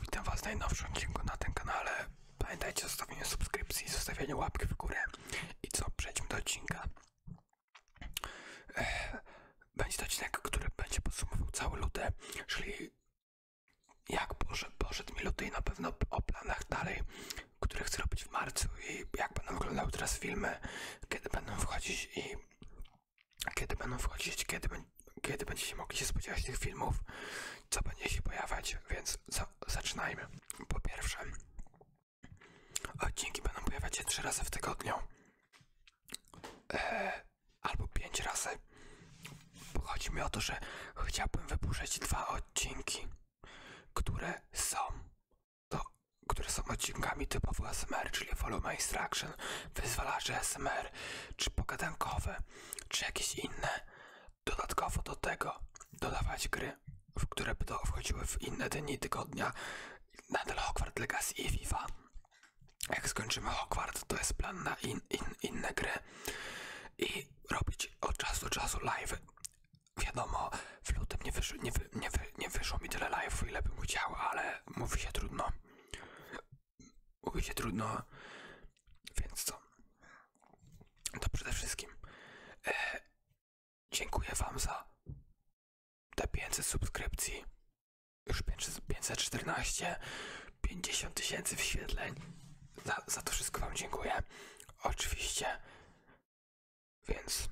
Witam Was w najnowszym odcinku na tym kanale. Pamiętajcie o zostawieniu subskrypcji, zostawieniu łapki w górę. I co, przejdźmy do odcinka. Będzie to odcinek, który będzie podsumował cały luty, czyli jak poszedł, poszedł mi luty i na pewno o planach dalej, które chcę robić w marcu i jak będą wyglądały teraz filmy, kiedy będą wchodzić i kiedy będą wchodzić, kiedy kiedy będziecie mogli się spodziewać tych filmów, co będzie się pojawiać, więc za zaczynajmy. Po pierwsze, odcinki będą pojawiać się trzy razy w tygodniu. E, albo pięć razy. Bo chodzi mi o to, że chciałbym wypuszczać dwa odcinki, które są które są odcinkami typowo SMR, czyli Volume Instruction, wyzwalacze SMR, czy pogadankowe, czy jakieś inne dodatkowo do tego dodawać gry, w które by to wchodziły w inne dni tygodnia. Nadal Hogwarts Legacy i FIFA. Jak skończymy Hogwarts, to jest plan na in, in, inne gry i robić od czasu do czasu live. Wiadomo, w lutym nie, wysz, nie, nie, nie wyszło mi tyle live'ów, ile bym chciał, ale mówi się trudno mówię trudno, więc co? To przede wszystkim e, dziękuję Wam za te 500 subskrypcji, już 514, 50 tysięcy wyświetleń. za to wszystko Wam dziękuję. Oczywiście. Więc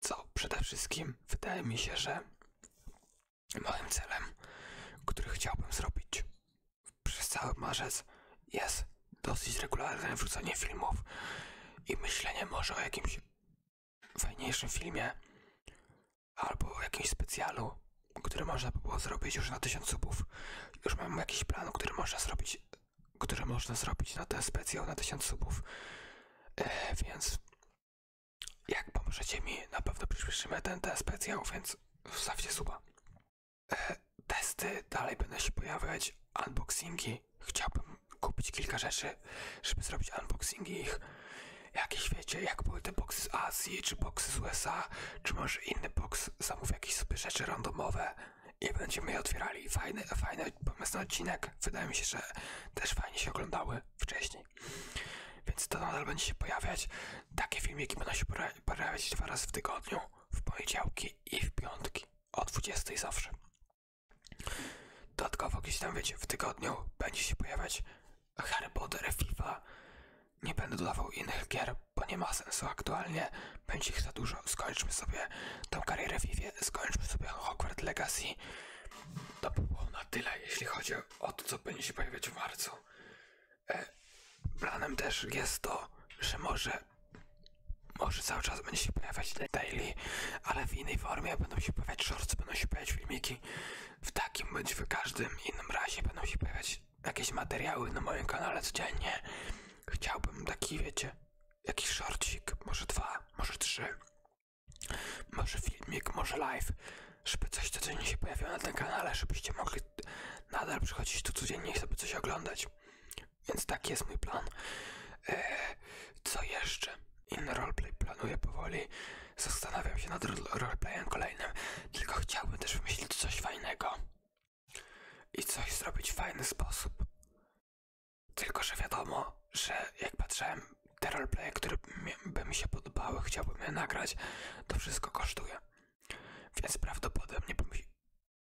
co? Przede wszystkim wydaje mi się, że Moim celem, który chciałbym zrobić przez cały marzec, jest dosyć regularne wrzucanie filmów i myślenie może o jakimś fajniejszym filmie albo o jakimś specjalu, który można by było zrobić już na tysiąc subów. Już mam jakiś plan, który można zrobić, który można zrobić na ten specjal na tysiąc subów. E, więc jak pomożecie mi, na pewno przyspieszymy ten, ten specjał, więc wstawcie suba. E, testy dalej będą się pojawiać, unboxingi. Chciałbym kupić kilka rzeczy, żeby zrobić unboxingi ich. Jakieś wiecie, jak były te boxy z Azji, czy boxy z USA, czy może inny box, zamów jakieś sobie rzeczy randomowe i będziemy je otwierali. Fajny, fajny pomysł na odcinek. Wydaje mi się, że też fajnie się oglądały wcześniej. Więc to nadal będzie się pojawiać. Takie filmiki będą się pojawiać dwa razy w tygodniu, w poniedziałki i w piątki, o 20 zawsze. Dodatkowo gdzieś tam, wiecie, w tygodniu będzie się pojawiać Harry Potter, FIFA. Nie będę dodawał innych gier, bo nie ma sensu aktualnie. Będzie ich za dużo. Skończmy sobie tą karierę FIFA, skończmy sobie Hogwarts Legacy. To było na tyle, jeśli chodzi o od co będzie się pojawiać w marcu. E, planem też jest to, że może, może cały czas będzie się pojawiać daily, ale w innej formie będą się pojawiać shorts, będą się pojawiać filmiki. W takim bądź w każdym innym razie będą się pojawiać jakieś materiały na moim kanale codziennie. Chciałbym taki, wiecie, jakiś shortcik, może dwa, może trzy, może filmik, może live, żeby coś codziennie się pojawiło na tym kanale, żebyście mogli nadal przychodzić tu codziennie i sobie coś oglądać. Więc taki jest mój plan. E, co jeszcze? Inny roleplay planuję powoli. Zastanawiam się nad roleplayem kolejnym, tylko chciałbym też wymyślić coś fajnego. I coś zrobić w fajny sposób. Tylko, że wiadomo, że jak patrzyłem te roleplaye, które by mi się podobały, chciałbym je nagrać, to wszystko kosztuje. Więc prawdopodobnie,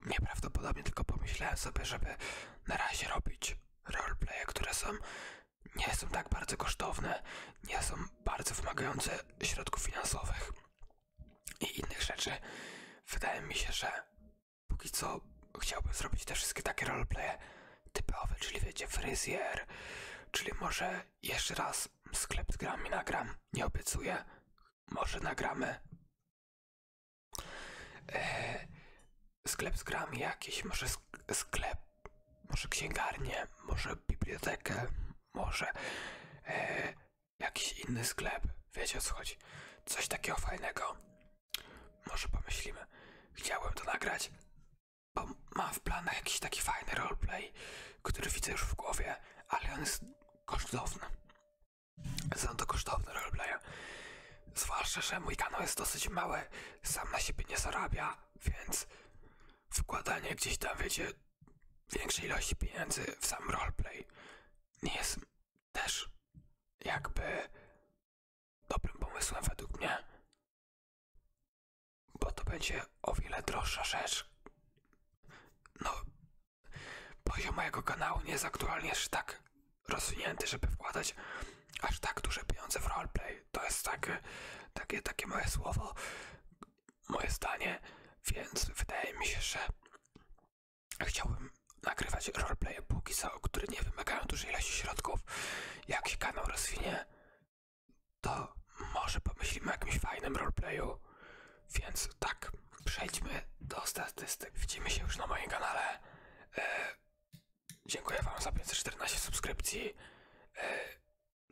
nieprawdopodobnie, tylko pomyślałem sobie, żeby na razie robić roleplaye, które są nie są tak bardzo kosztowne, nie są bardzo wymagające środków finansowych i innych rzeczy. Wydaje mi się, że póki co chciałbym zrobić te wszystkie takie roleplaye, typowy, czyli wiecie, fryzjer, czyli może jeszcze raz sklep z grami nagram, nie obiecuję, może nagramy. E, sklep z grami jakiś, może sklep, może księgarnię, może bibliotekę, może e, jakiś inny sklep, wiecie o co chodzi, coś takiego fajnego. Może pomyślimy, chciałem to nagrać, bo mam w planach jakiś taki fajny roleplay, który widzę już w głowie, ale on jest kosztowny. Są to kosztowny roleplay. Zwłaszcza, że mój kanał jest dosyć mały, sam na siebie nie zarabia, więc wkładanie gdzieś tam, wiecie, większej ilości pieniędzy w sam roleplay nie jest też jakby dobrym pomysłem według mnie, bo to będzie o wiele droższa rzecz. No, poziom mojego kanału nie jest aktualnie aż tak rozwinięty, żeby wkładać aż tak duże pieniądze w roleplay. To jest takie, takie, takie moje słowo, moje zdanie, więc wydaje mi się, że chciałbym nagrywać roleplaye póki co, które nie wymagają dużej ilości środków. Jak się kanał rozwinie, to może pomyślimy o jakimś fajnym roleplayu. Więc tak, przejdźmy do statystyk. Widzimy się już na moim kanale. E, dziękuję Wam za 514 subskrypcji, e,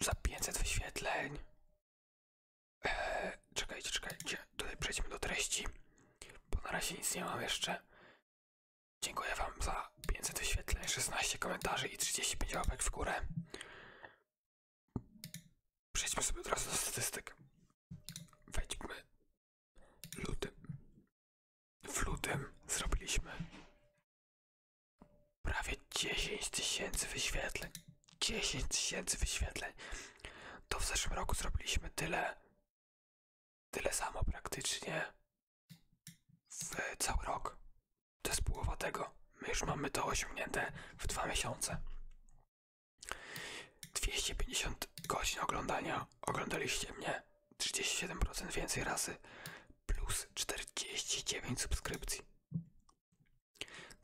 za 500 wyświetleń. E, czekajcie, czekajcie, tutaj przejdźmy do treści, bo na razie nic nie mam jeszcze. Dziękuję Wam za 500 wyświetleń, 16 komentarzy i 35 łapek w górę. Przejdźmy sobie od razu do statystyk. Wejdźmy lutym. W lutym zrobiliśmy prawie 10 tysięcy wyświetleń. 10 tysięcy wyświetleń. To w zeszłym roku zrobiliśmy tyle, Tyle samo praktycznie w cały rok. To jest połowa tego. My już mamy to osiągnięte w dwa miesiące. 250 godzin oglądania. Oglądaliście mnie 37% więcej razy plus 49 subskrypcji.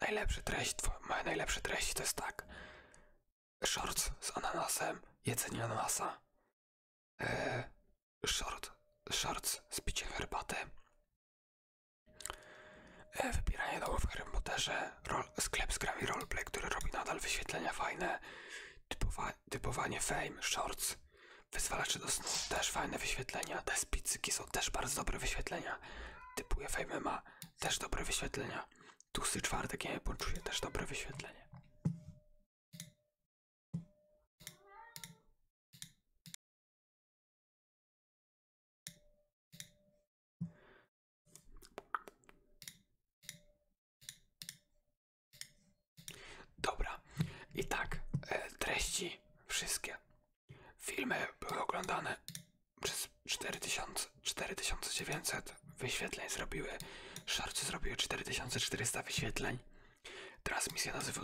Najlepsze treść, moje najlepsze treści to jest tak. Shorts z ananasem, jedzenie ananasa, E, short, shorts z herbaty, e, Wybieranie dołu w Harrym sklep z grami roleplay, który robi nadal wyświetlenia fajne, typowanie fame, shorts, wyzwalacze do snu, też fajne wyświetlenia, te spicyki są też bardzo dobre wyświetlenia, typuje fame ma też dobre wyświetlenia, tłusty czwartek, nie poczuję, też dobre wyświetlenie. Dobra, i tak e, treści wszystkie. Filmy były oglądane przez cztery cztery tysiące dziewięćset wyświetleń zrobiły, szorcy zrobiły 4400 wyświetleń, transmisje na, żywo,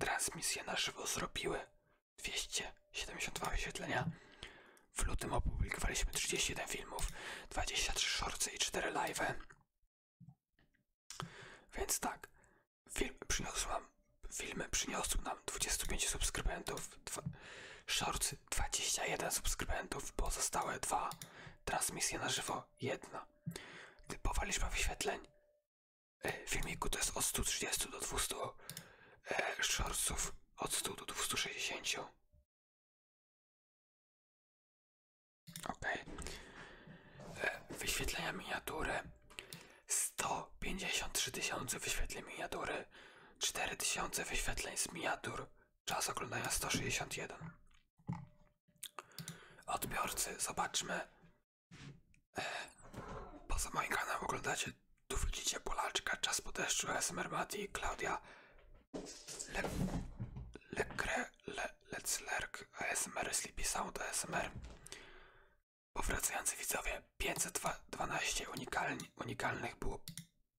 transmisje na żywo zrobiły 272 wyświetlenia, w lutym opublikowaliśmy 31 filmów, 23 shortsy i 4 live. Więc tak, film przyniosł filmy przyniosły nam 25 subskrybentów, dwa, shortsy 21 subskrybentów, pozostałe dwa transmisje na żywo tylko jedna. Typowa liczba wyświetleń e, w filmiku to jest od 130 do 200 e, od 100 do 260. Ok. E, wyświetlenia miniatury 153 tysiące wyświetleń miniatury, 4 tysiące wyświetleń z miniatur, czas oglądania 161 odbiorcy, zobaczmy. E, poza moim kanałem oglądacie, tu widzicie Polaczka, Czas po deszczu, SMR Mati, Klaudia, Le, Lekre, Let's Lerk, ASMR, Sleepy Sound, ASMR. Powracający widzowie, 512 unikalnych było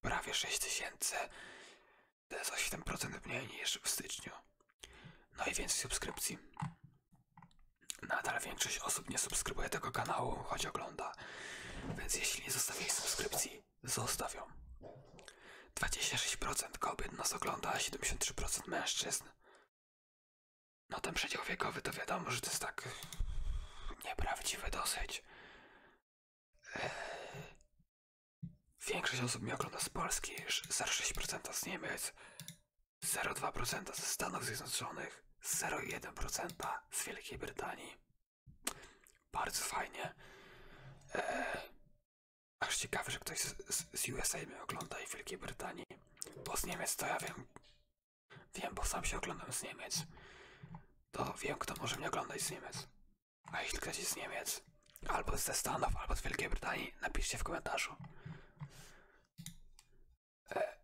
prawie 6000. To jest 8% mniej niż w styczniu. No i więcej subskrypcji. Nadal większość osób nie subskrybuje tego kanału, choć ogląda. Więc jeśli nie zostawię subskrypcji, zostawię. 26% kobiet nas ogląda, a 73% mężczyzn. No ten przedział wiekowy to wiadomo, że to jest tak nieprawdziwe dosyć. Większość osób mnie ogląda z Polski, 0,6% z Niemiec, 0,2% ze Stanów Zjednoczonych, 0,1% z Wielkiej Brytanii. Bardzo fajnie. Eee, aż ciekawe, że ktoś z, USA mnie ogląda i Wielkiej Brytanii. Bo z Niemiec to ja wiem. Wiem, bo sam się oglądam z Niemiec. To wiem, kto może mnie oglądać z Niemiec. A jeśli ktoś jest z Niemiec, albo ze Stanów, albo z Wielkiej Brytanii, napiszcie w komentarzu. E,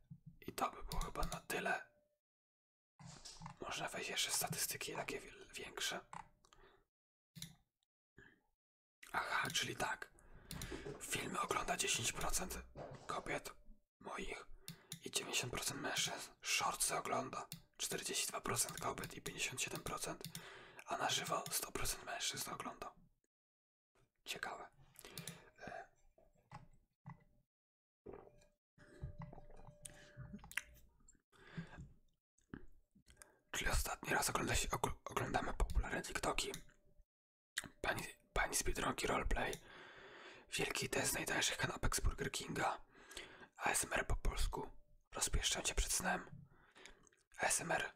I to by było chyba na tyle. Można wejść jeszcze statystyki takie większe. Aha, czyli tak. Filmy ogląda 10% kobiet moich i 90% mężczyzn. Shorts ogląda 42% kobiet i 57%, a na żywo 100% mężczyzn ogląda. Ciekawe. E. Czyli ostatni raz ogląda oglądamy popularne TikToki. Pani, pani z Biedronki Roleplay. Wielki test najtańszych kanapek z Burger Kinga. ASMR po polsku. Rozpieszczę się przed snem. ASMR.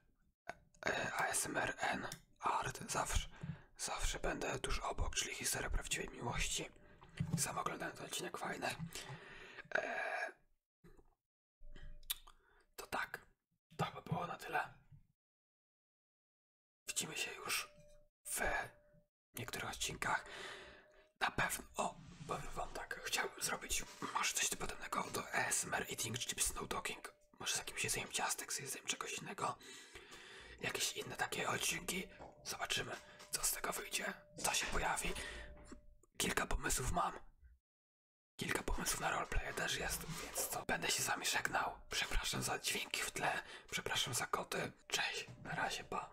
E, ASMR N. Art. Zawsze. Zawsze będę tuż obok, czyli historia prawdziwej miłości. Sam oglądałem ten odcinek, fajny. E, to tak. To by było na tyle. Widzimy się już w w niektórych odcinkach. Na pewno, o, powiem wam tak, chciałbym zrobić może coś typowego do ASMR Eating Chips Snow Talking. Może z jakimś jedzeniem ciastek, z jedzeniem czegoś innego. Jakieś inne takie odcinki. Zobaczymy, co z tego wyjdzie, co się pojawi. Kilka pomysłów mam. Kilka pomysłów na roleplay też jest, więc co? Będę się z wami żegnał. Przepraszam za dźwięki w tle, przepraszam za koty. Cześć, na razie, pa.